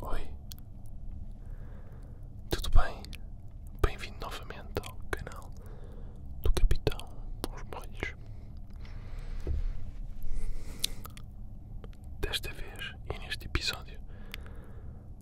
Oi, tudo bem? Bem-vindo novamente ao canal do Capitão Os Molhos. Desta vez e neste episódio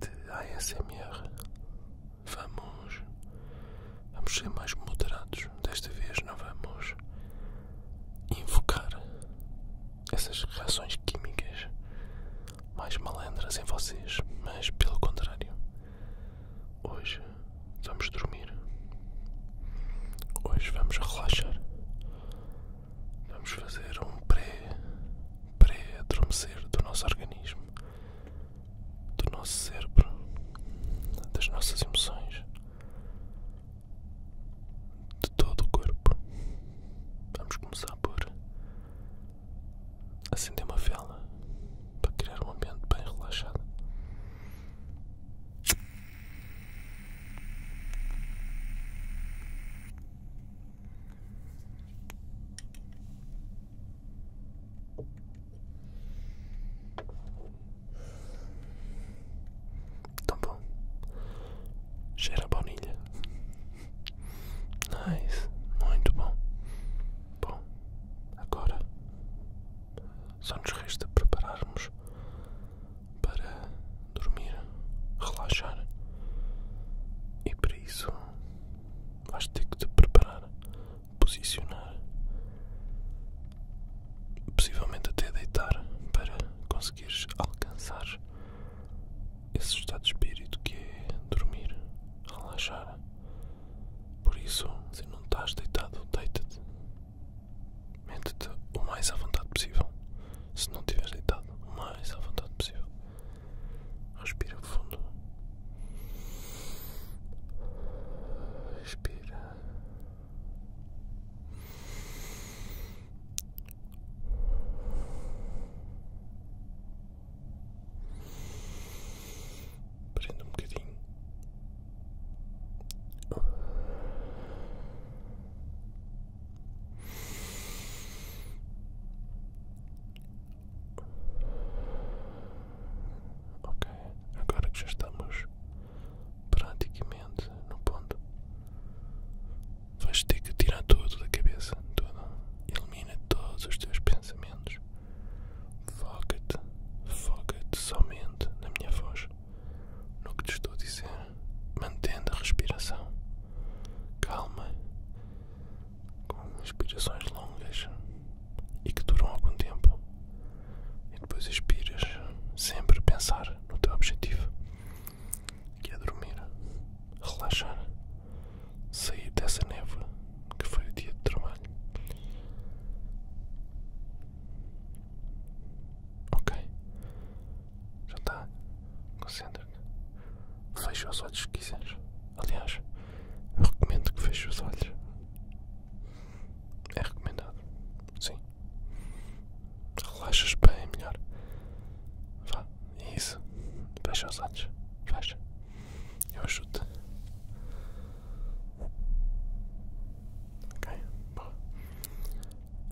de ASMR, vamos, vamos ser mais moderados desta vez, não vamos invocar essas reações químicas mais malandras em vocês, mas pelo contrário, hoje vamos dormir, hoje vamos relaxar, vamos fazer um pré-adormecer pré do nosso organismo, do nosso cérebro, das nossas emoções de todo o corpo. Vamos começar por acender uma vela para criar um ambiente bem relaxado. Tão bom. Cheira a baunilha. Nice. Muito bom. Bom, agora só nos resta prepararmos para dormir, relaxar. E para isso vais ter que te preparar, posicionar possivelmente até deitar para conseguires alcançar esse estado de espírito que é dormir, relaxar. Por isso, se não estás deitado, deita-te. mente te o mais à vontade possível. Se não estiveres deitado, o mais à vontade possível. Respira fundo. Respira. Prenda um bocadinho. Ok, agora que já estamos praticamente no ponto. Vais ter que tirar tudo da cabeça, tudo. Elimina todos os teus pensamentos. Foca-te, foca-te somente na minha voz, no que te estou a dizer, mantendo a respiração. Calma, com inspirações longas e que duram algum tempo e depois expiras, sempre pensar no teu objetivo, que é dormir, relaxar, sair dessa névoa que foi o dia de trabalho. Ok, já está, concentra-te, fecha os olhos se quiseres. Aliás, eu recomendo que feche os olhos. É recomendado. Sim. Relaxas bem é melhor. Vá, é isso. Fecha os olhos. Fecha. Eu ajudo. -te. Ok, boa.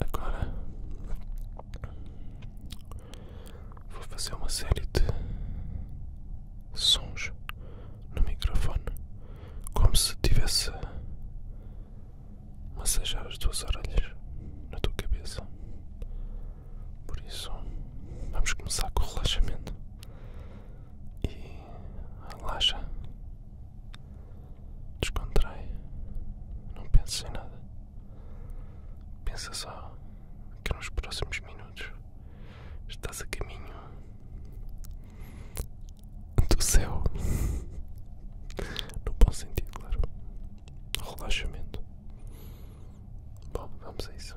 Agora vou fazer uma série de sons no microfone como se tivesse a massajar as tuas orelhas na tua cabeça. Por isso, vamos começar com o relaxamento. E relaxa, descontrai, não penses em nada. Pensa só que nos próximos minutos estás a caminho do céu, no bom sentido, claro, relaxamento. Bom, vamos a isso.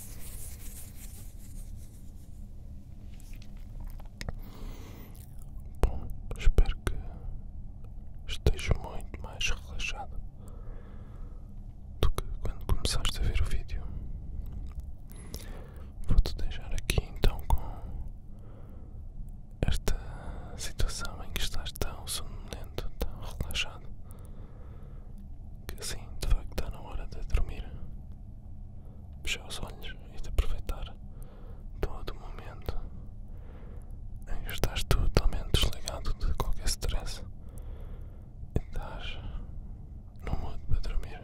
Bom, espero que esteja muito mais relaxado do que quando começaste a ver o vídeo. Vou-te deixar aqui então com esta situação em que estás tão sonolento, tão relaxado que assim de facto está na hora de dormir, fechar os olhos e de aproveitar todo o momento em que estás totalmente desligado de qualquer stress e estás no modo para dormir.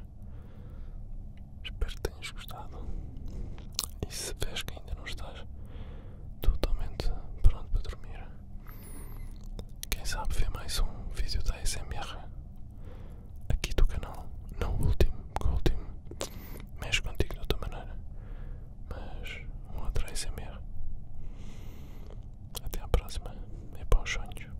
Espero que tenhas gostado e se vês que ainda não estás totalmente pronto para dormir. Quem sabe ver mais um vídeo da SMR aqui do canal. Não o último, porque o último mexe contigo de outra maneira. Mas um outro SMR. Até à próxima. É bons sonhos.